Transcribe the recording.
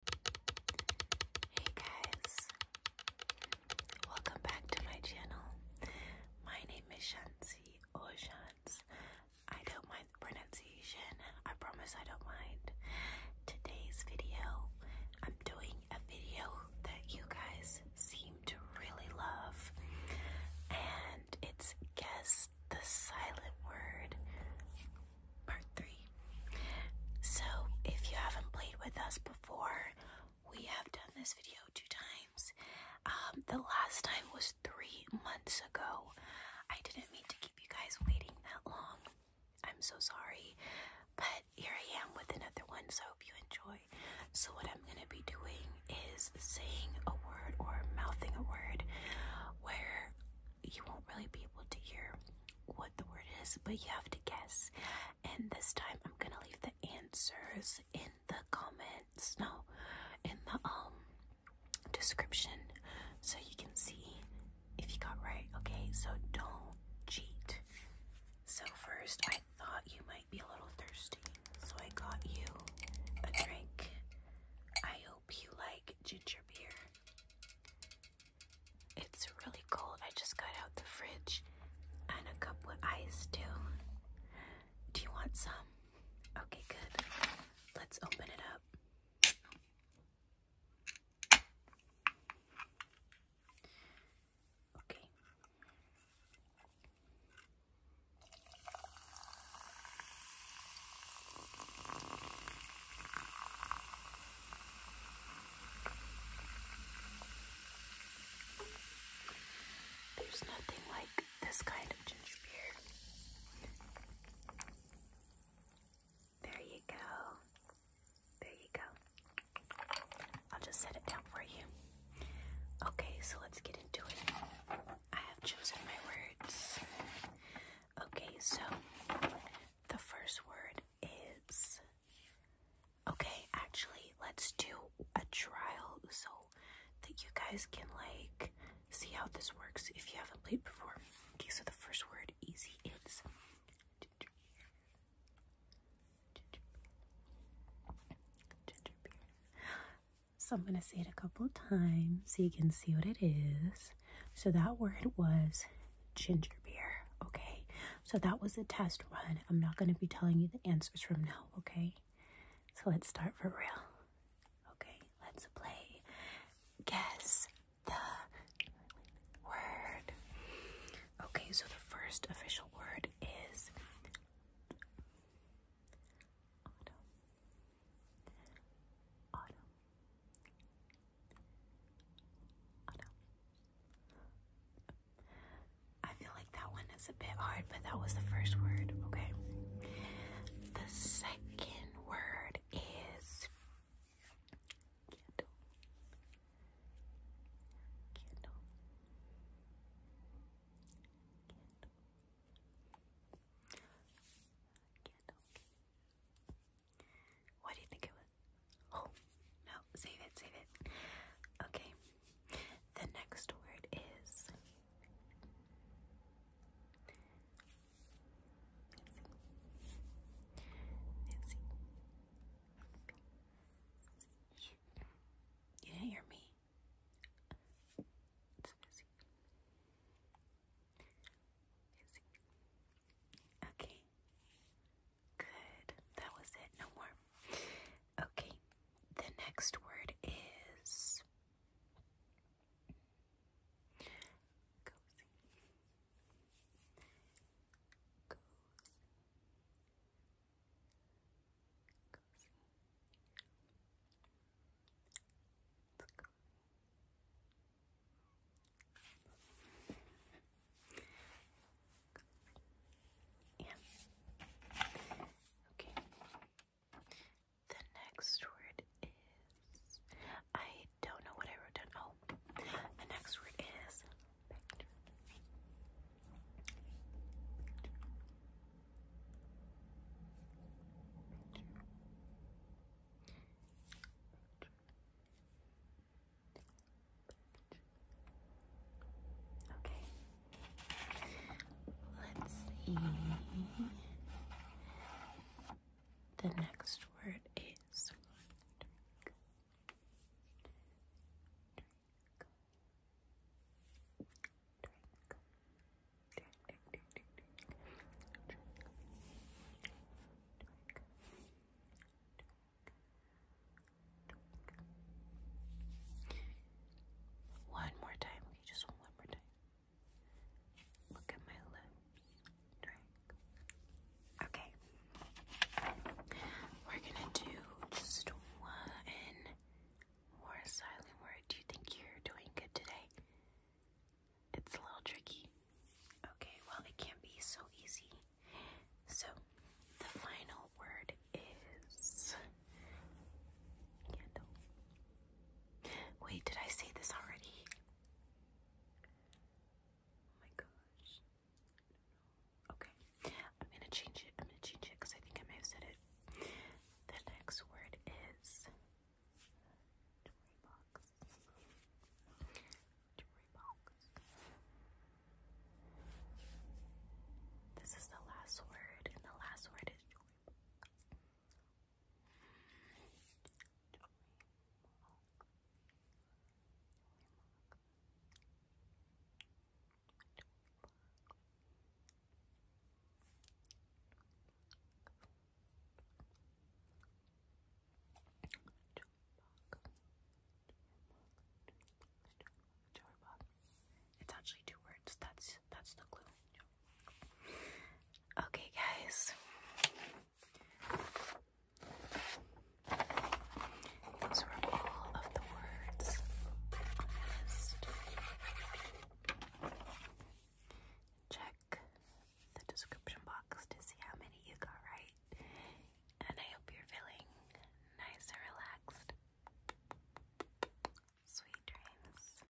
Hey guys, welcome back to my channel. My name is Shansi or I don't mind pronunciation, I promise I don't mind. Today's video, I'm doing a video that you guys seem to really love, and it's Guess the Silent Word part three. So, if you haven't played with us before, we have done this video two times. Um, the last time was three months ago. I didn't mean to keep you guys waiting that long. I'm so sorry. But here I am with another one, so I hope you enjoy. So, what I'm going to be doing is saying a word or mouthing a word where you won't really be able to hear what the word is, but you have to guess. And this time I'm gonna leave the answers in the comments. No, in the um description so you can see if you got right, okay? So don't cheat. So first I thought you might be a little thirsty, so I got you a drink. I hope you like ginger beer. It's really cold. I just got out the fridge and a cup with ice too. Do you want some? Okay, good. Let's open it up. Okay. There's nothing like this kind of ginger beer. There you go. There you go. I'll just set it down for you. Okay, so let's get into it. I have chosen my words. Okay, so the first word is. Okay, actually, let's do a trial so that you guys can like see how this works if you haven't played before. Okay, so the first word easy is. So I'm going to say it a couple times so you can see what it is. So that word was ginger beer. Okay. So that was a test run. I'm not going to be telling you the answers from now. Okay. So let's start for real. Okay. Let's play. Guess the word. Okay. So the first official word is autumn, autumn, autumn. I feel like that one is a bit hard, but that was the first word, okay? The second word is candle. Candle. What do you think it was? Oh, no, save it, save it. Okay, the next word is. You didn't hear me. It's busy. Busy. Okay. Good. That was it. No more. Okay. The next word is cozy. Cozy cozy. It's cozy. Yeah. Okay. The next word is I don't know what I wrote down. Oh, the next word is Okay. Let's see. The next word is one more time, okay, just one more time. Look at my lip. Okay. We're gonna do just one more silent word. Do you think you're doing good today? It's a little tricky. Okay, well, it can't be so easy. So, the final word is candle. Wait, did I say this already? Oh my gosh. I Okay. I'm gonna change it. I'm gonna change it because I think I may have said it. The next word is Tory box. Tory box. This is the last word, and the last word is Tory box. It's actually two words. That's that's the clue. Okay, guys. Those were all of the words Check the description box to see how many you got right. And I hope you're feeling nice and relaxed. Sweet dreams.